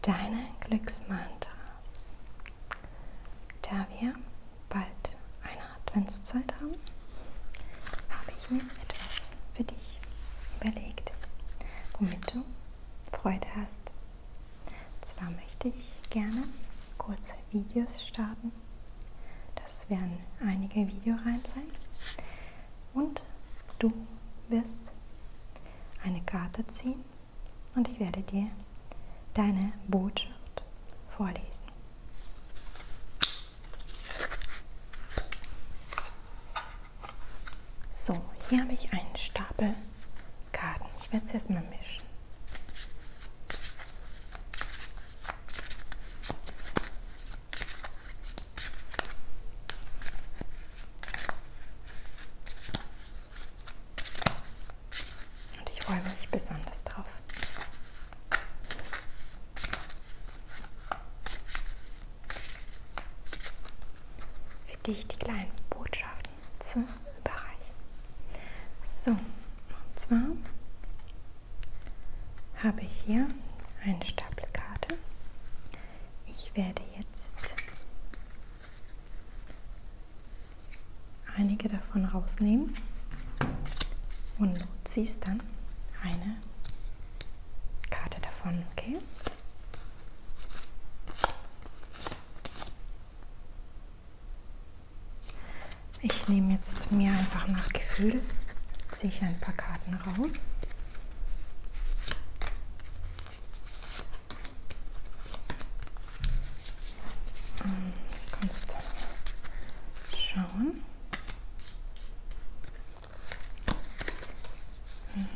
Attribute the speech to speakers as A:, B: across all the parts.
A: Deine Glücksmantras. Da wir bald eine Adventszeit haben, habe ich mir etwas für dich überlegt, womit du Freude hast. Zwar möchte ich gerne kurze Videos starten. Das werden einige Videoreihen sein. Und du wirst eine Karte ziehen und ich werde dir deine Botschaft vorlesen. So, hier habe ich einen Stapel Karten. Ich werde es jetzt mal mischen. Und ich freue mich besonders drauf. Für dich die kleinen Botschaften zu überreichen. So, und zwar habe ich hier einen Stapel Karte. Ich werde jetzt einige davon rausnehmen und du ziehst dann eine Karte davon, okay? Ich nehme jetzt mir einfach nach Gefühl, ziehe ich ein paar Karten raus. Kannst schauen.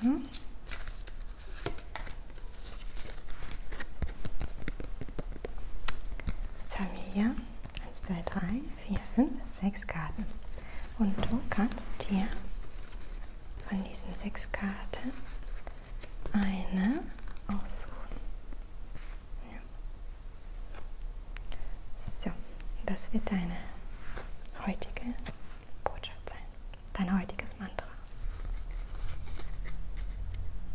A: Mhm. Jetzt haben wir hier ja, 1, 2, 3, 4, 5, 6 Karten. Und du kannst dir von diesen sechs Karten eine aussuchen. Ja. So, das wird deine heutige Botschaft sein. Dein heutiges Mantra.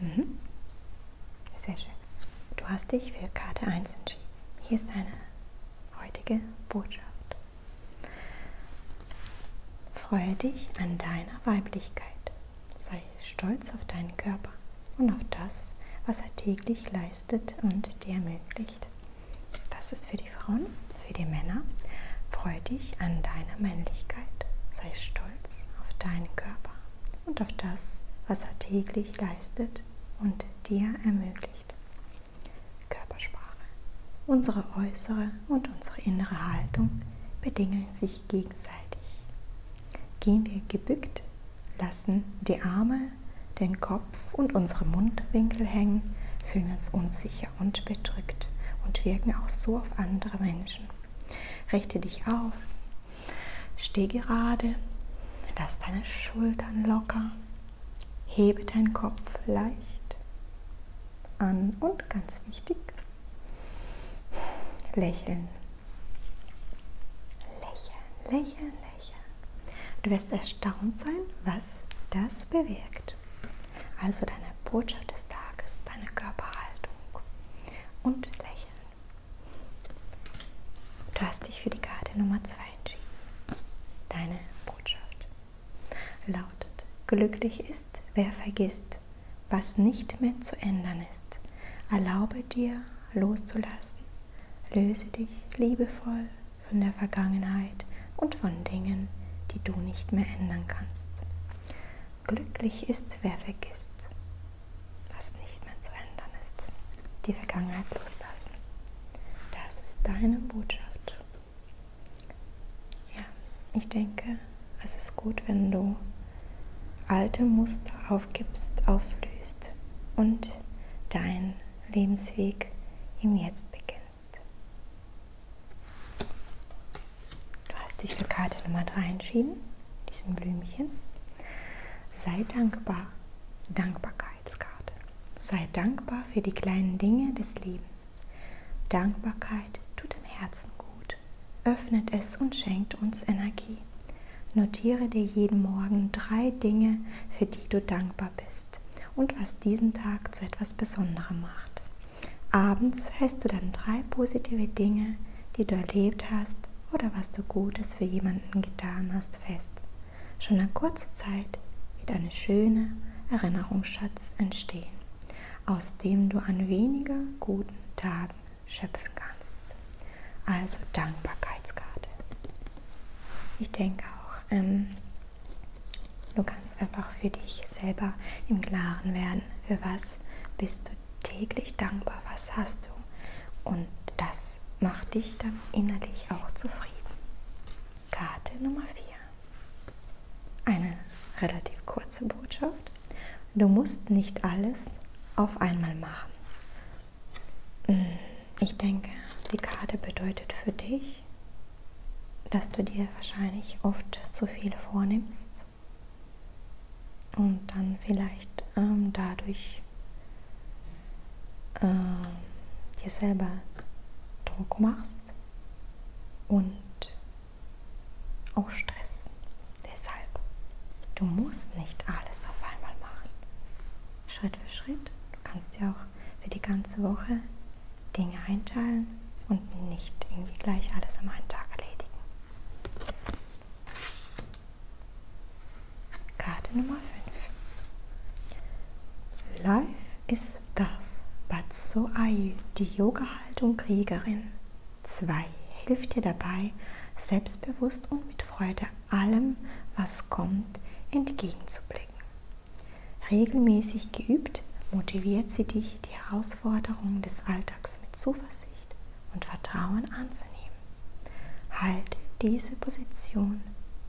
A: Mhm. Sehr schön. Du hast dich für Karte 1 entschieden. Hier ist deine heutige Botschaft. Freue dich an deiner Weiblichkeit. Sei stolz auf deinen Körper und auf das, was er täglich leistet und dir ermöglicht. Das ist für die Frauen, für die Männer. Freue dich an deiner Männlichkeit. Sei stolz auf deinen Körper und auf das, was er täglich leistet und dir ermöglicht. Körpersprache. Unsere äußere und unsere innere Haltung bedingen sich gegenseitig. Gehen wir gebückt, lassen die Arme, den Kopf und unsere Mundwinkel hängen, fühlen wir uns unsicher und bedrückt und wirken auch so auf andere Menschen. Richte dich auf, Steh gerade, lass deine Schultern locker, hebe deinen Kopf leicht an und ganz wichtig, lächeln. Lächeln, lächeln, lächeln. Du wirst erstaunt sein, was das bewirkt. Also deine Botschaft des Tages, deine Körperhaltung. Achtung und lächeln. Du hast dich für die Karte Nummer 2 entschieden. Deine Botschaft lautet, glücklich ist, wer vergisst, was nicht mehr zu ändern ist. Erlaube dir loszulassen, löse dich liebevoll von der Vergangenheit und von Dingen, die du nicht mehr ändern kannst. Glücklich ist, wer vergisst, was nicht mehr zu ändern ist. Die Vergangenheit loslassen. Das ist deine Botschaft. Ja, ich denke, es ist gut, wenn du alte Muster aufgibst, auflöst und deinen Lebensweg im Jetzt beginnst. Du hast dich für Karte Nummer 3 entschieden, diesen Blümchen. Sei dankbar. Dankbarkeitskarte. Sei dankbar für die kleinen Dinge des Lebens. Dankbarkeit tut dem Herzen gut, öffnet es und schenkt uns Energie. Notiere dir jeden Morgen drei Dinge, für die du dankbar bist und was diesen Tag zu etwas Besonderem macht. Abends heißt du dann drei positive Dinge, die du erlebt hast oder was du Gutes für jemanden getan hast, fest. Schon nach kurzer Zeit wird ein schöner Erinnerungsschatz entstehen, aus dem du an weniger guten Tagen schöpfen kannst. Also Dankbarkeitskarte. Ich denke auch, ähm, Du kannst einfach für dich selber im Klaren werden, für was bist du täglich dankbar, was hast du. Und das macht dich dann innerlich auch zufrieden. Karte Nummer 4. Eine relativ kurze Botschaft. Du musst nicht alles auf einmal machen. Hm, ich denke, die Karte bedeutet für dich, dass du dir wahrscheinlich oft zu viel vornimmst und dann vielleicht ähm, dadurch äh, dir selber Druck machst und auch Stress. Deshalb, du musst nicht alles auf einmal machen. Schritt für Schritt. Du kannst dir auch für die ganze Woche Dinge einteilen und nicht irgendwie gleich alles am einen Tag erledigen. Karte Nummer 5. Life is tough, but so are you. Die Yoga-Haltung Kriegerin 2 hilft dir dabei, selbstbewusst und mit Freude allem, was kommt, entgegenzublicken. Regelmäßig geübt motiviert sie dich, die Herausforderungen des Alltags mit Zuversicht und Vertrauen anzunehmen. Halte diese Position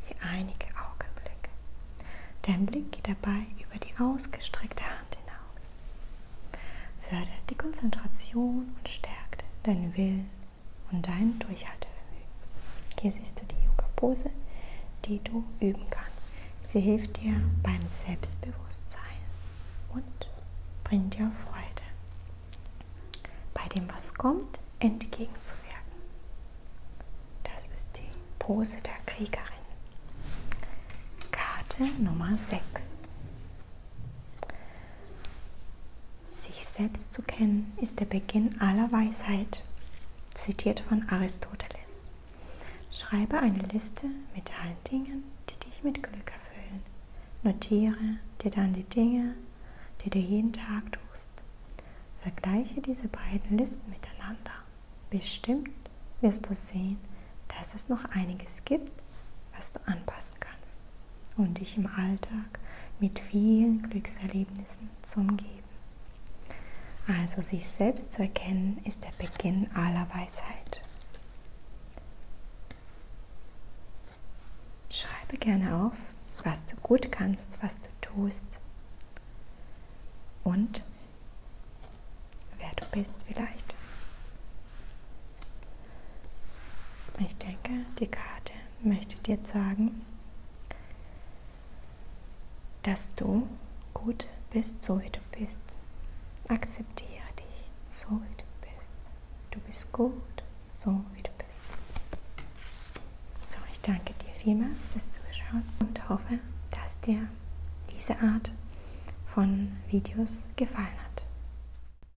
A: für einige Augenblicke. Dein Blick geht dabei über die ausgestreckte Hand hinaus. Fördert die Konzentration und stärkt deinen Willen und dein Durchhaltevermögen. Hier siehst du die Yoga-Pose, die du üben kannst. Sie hilft dir beim Selbstbewusstsein und bringt dir Freude, bei dem, was kommt, entgegenzuwirken. Das ist die Pose der Kriegerin. Karte Nummer 6. Sich selbst zu kennen ist der Beginn aller Weisheit, zitiert von Aristoteles. Schreibe eine Liste mit allen Dingen, die dich mit Glück erfüllen. Notiere dir dann die Dinge, die du jeden Tag tust. Vergleiche diese beiden Listen miteinander. Bestimmt wirst du sehen, dass es noch einiges gibt, was du anpassen kannst und dich im Alltag mit vielen Glückserlebnissen zu umgeben. Also sich selbst zu erkennen, ist der Beginn aller Weisheit. Schreibe gerne auf, was du gut kannst, was du tust und wer du bist vielleicht. Ich denke, die Karte möchte dir sagen, dass du gut bist, so wie du bist. Akzeptiere dich, so wie du bist. Du bist gut, so wie du bist. So, ich danke dir vielmals fürs Zuschauen und hoffe, dass dir diese Art von Videos gefallen hat.